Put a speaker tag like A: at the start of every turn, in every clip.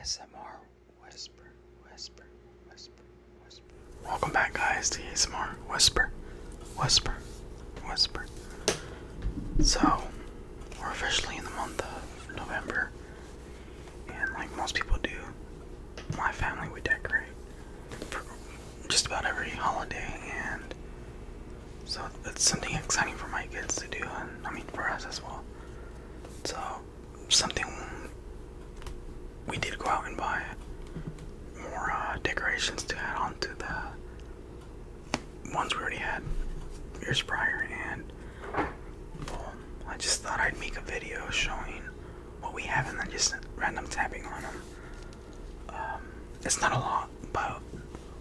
A: ASMR Whisper, Whisper, Whisper, Whisper. Welcome back, guys, to ASMR Whisper, Whisper, Whisper. So, we're officially in the month of November, and like most people do, my family would decorate for just about every holiday, and so it's something exciting for my kids to do, and I mean for us as well. So something we did go out and buy more uh, decorations to add on to the ones we already had years prior. And well, um, I just thought I'd make a video showing what we have and then just random tapping on them. Um, it's not a lot, but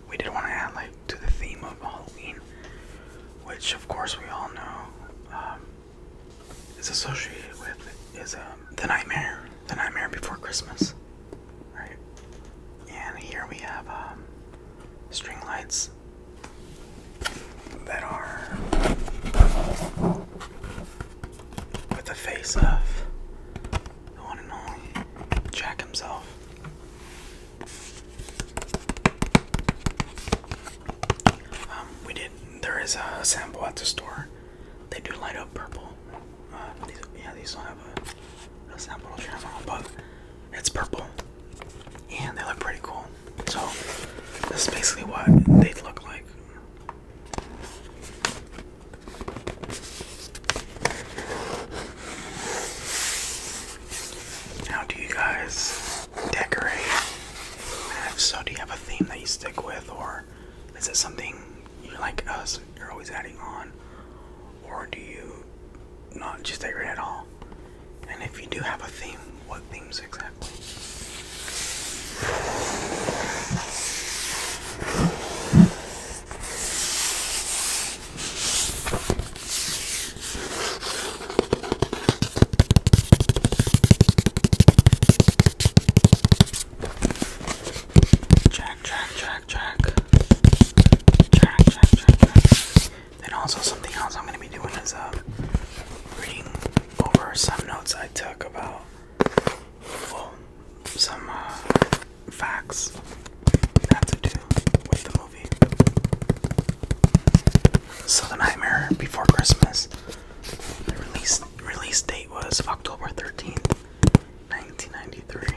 A: we did want to add like to the theme of Halloween, which of course we all know um, is associated with is um, the Nightmare, the Nightmare Before Christmas, right? And here we have um, string lights that are with the face of the one and only Jack himself. Um, we did. There is a sample at the store. They do light up purple. Uh, yeah, these don't have a, sample to trim but it's purple, and they look pretty cool. So this is basically what they look like. How do you guys decorate? If uh, so, do you have a theme that you stick with, or is it something you like us? You're always adding on, or do you not just decorate at all? And if you do have a theme, what themes exactly? Check, check, check, check. Check, check, check, check. also something else I'm gonna be doing is uh reading over some notes I took about some uh, facts that to do with the so the Nightmare Before Christmas. The release release date was October 13th, 1993.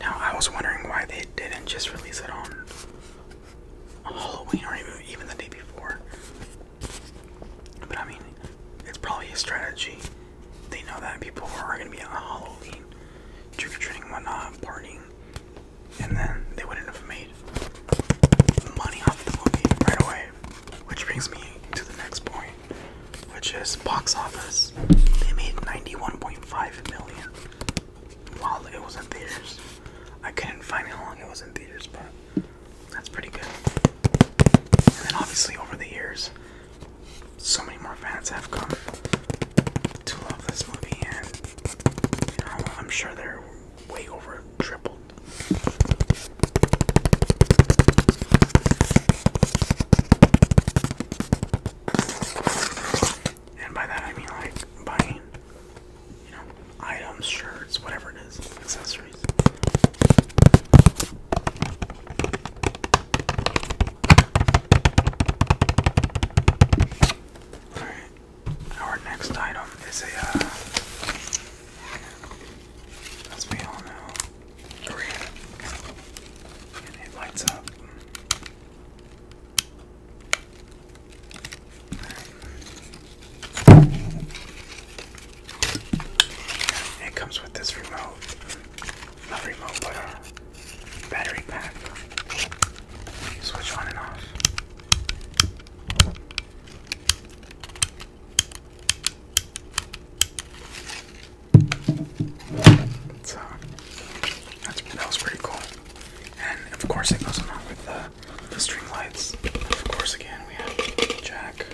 A: Now I was wondering why they didn't just release it on Halloween or even even the day before. But I mean, it's probably a strategy. They know that people are gonna be on Halloween, trick or treating, whatnot, partying, and then they wouldn't have made money off the movie right away. Which brings me to the next point which is box office. They made 91.5 million while it was in theaters. I couldn't find how long it was in theaters, but that's pretty good. And then obviously over the years, so many more fans have come to love this movie, and I'm sure they're way over tripled. And by that I mean like buying, you know, items, shirts, whatever it is, accessories. Alright, our next item is a, uh, as we all know, it lights up. It comes with this remote, not remote, but a battery pack. switch on and off. So that's, that was pretty cool. And of course it goes along with the, the string lights. And of course again we have Jack.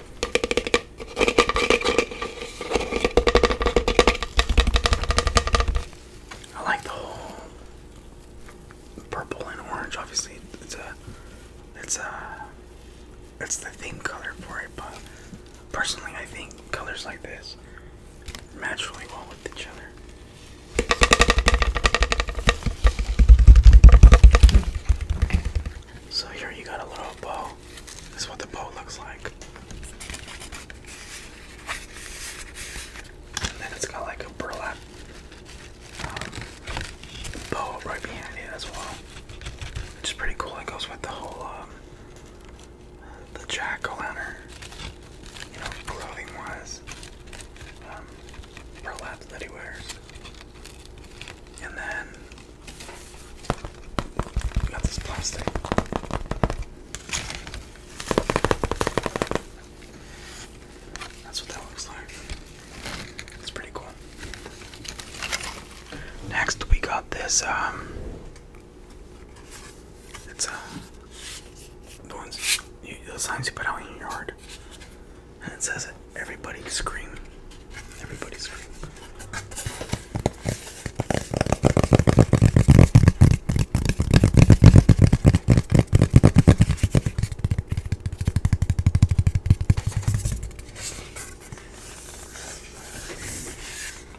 A: I like the whole purple and orange. Obviously, it's a, it's a, it's the theme color for it, but Personally, I think colors like this match really well with each other. So here you got a little bow. This is what the bow looks like. And then it's got like a burlap um, bow right behind it as well. Which is pretty cool. It goes with the whole um, the jack-o'-lantern, you know, clothing-wise, um, burlap that he wears. And then got this plastic. That's what that looks like. It's pretty cool. Next, we got this um, it's uh, the ones, you, signs you put out in your yard, and it says "Everybody scream, everybody scream."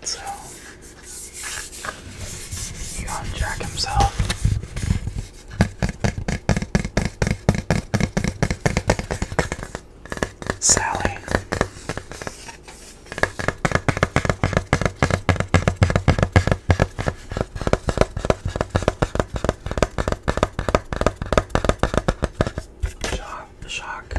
A: So you unjack himself. Sally. John off the shock.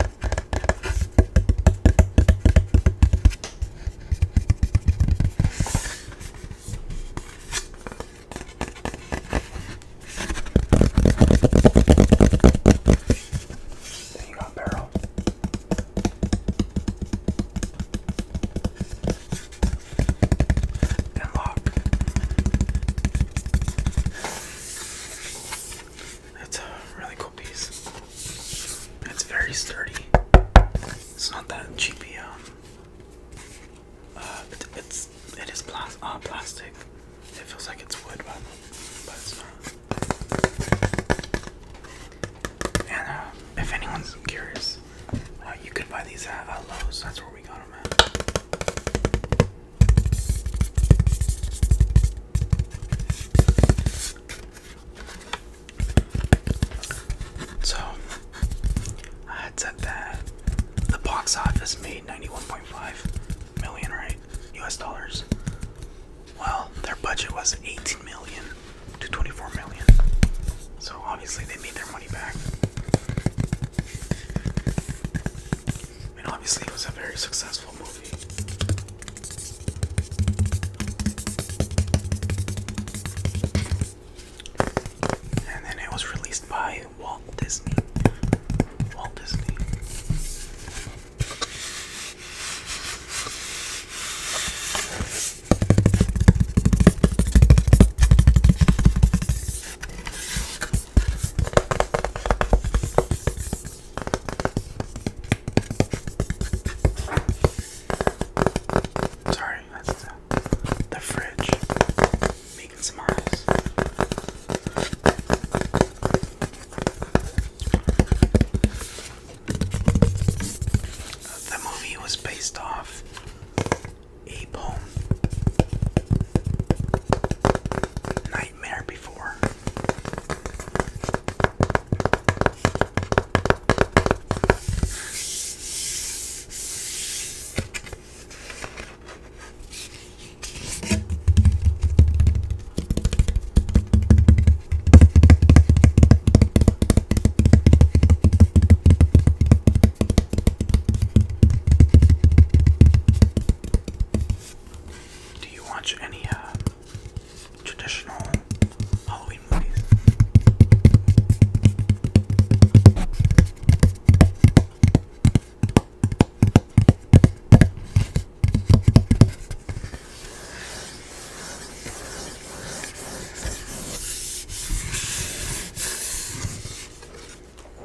A: Then you got barrel. And lock. That's a really cool piece. It's very sturdy. It's not that cheapy. Um, uh, it's it is plas uh, plastic. It feels like it's wood, but but it's not. And uh, if anyone's curious, uh, you could buy these at Lowe's. That's where we got them at. So I had said that the box office made 91.5 million, right? US dollars. Well, their budget was 18 million to 24 million. So obviously they made their money back and obviously it was a very successful movie. And then it was released by Walt Disney. Walt Disney. Sorry, that's the, fridge making some eyes. The movie was based off a poem nightmare before. Do you watch any uh, traditional Halloween movies?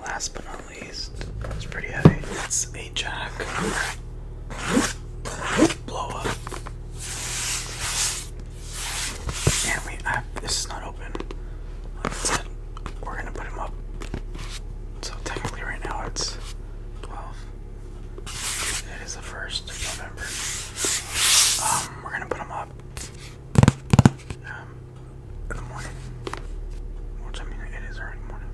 A: last but not least, it's pretty heavy. It's a jack blow up. And we I, this is not open. we're gonna put him up. So technically right now it's 12. It is the first November. Um, we're gonna put him up. Um, in the morning. Which I mean, it is early morning.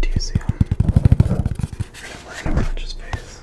A: Do you see him? Wearing a conscious face.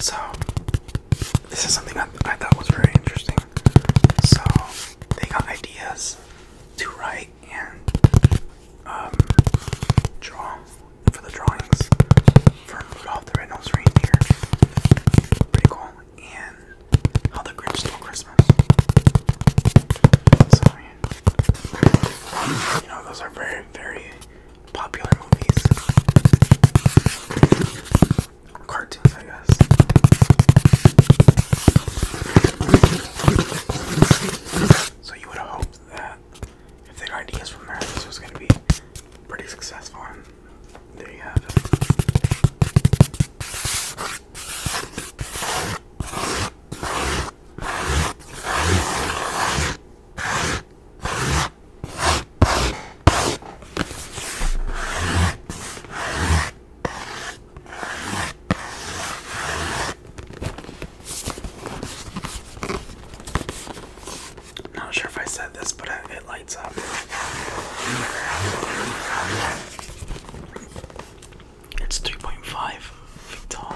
A: So, this is something I, I thought was very interesting. So, they got ideas to write and um, draw for the drawings for Rudolph the Red-Nosed Reindeer. Pretty cool and How the Grinch Stole Christmas. you know, those are very, very popular movies. Cartoons, I guess. So you would have hoped that if they got ideas from there, this was going to be pretty successful there you have it. I'm not sure if I said this, but it lights up. It's 3.5 feet tall.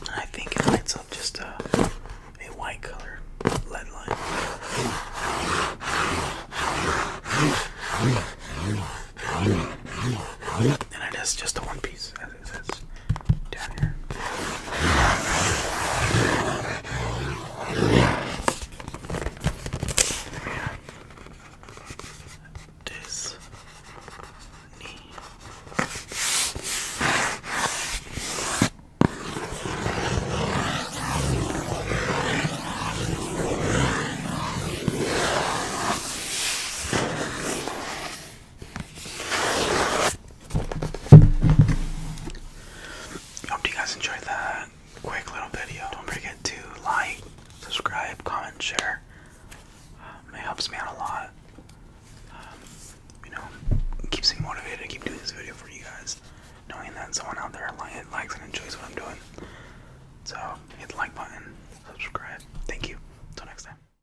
A: And I think it lights up just a, a white color LED light. And it is just a one piece other that's down here. Yeah. This knee. Hope you guys enjoyed that quick little video. Don't forget to like, subscribe, comment, share. Um, it helps me out a lot. Um, you know, keeps me motivated to keep doing this video for you guys, knowing that someone out there likes and enjoys what I'm doing. So hit the like button, subscribe. Thank you. Until next time.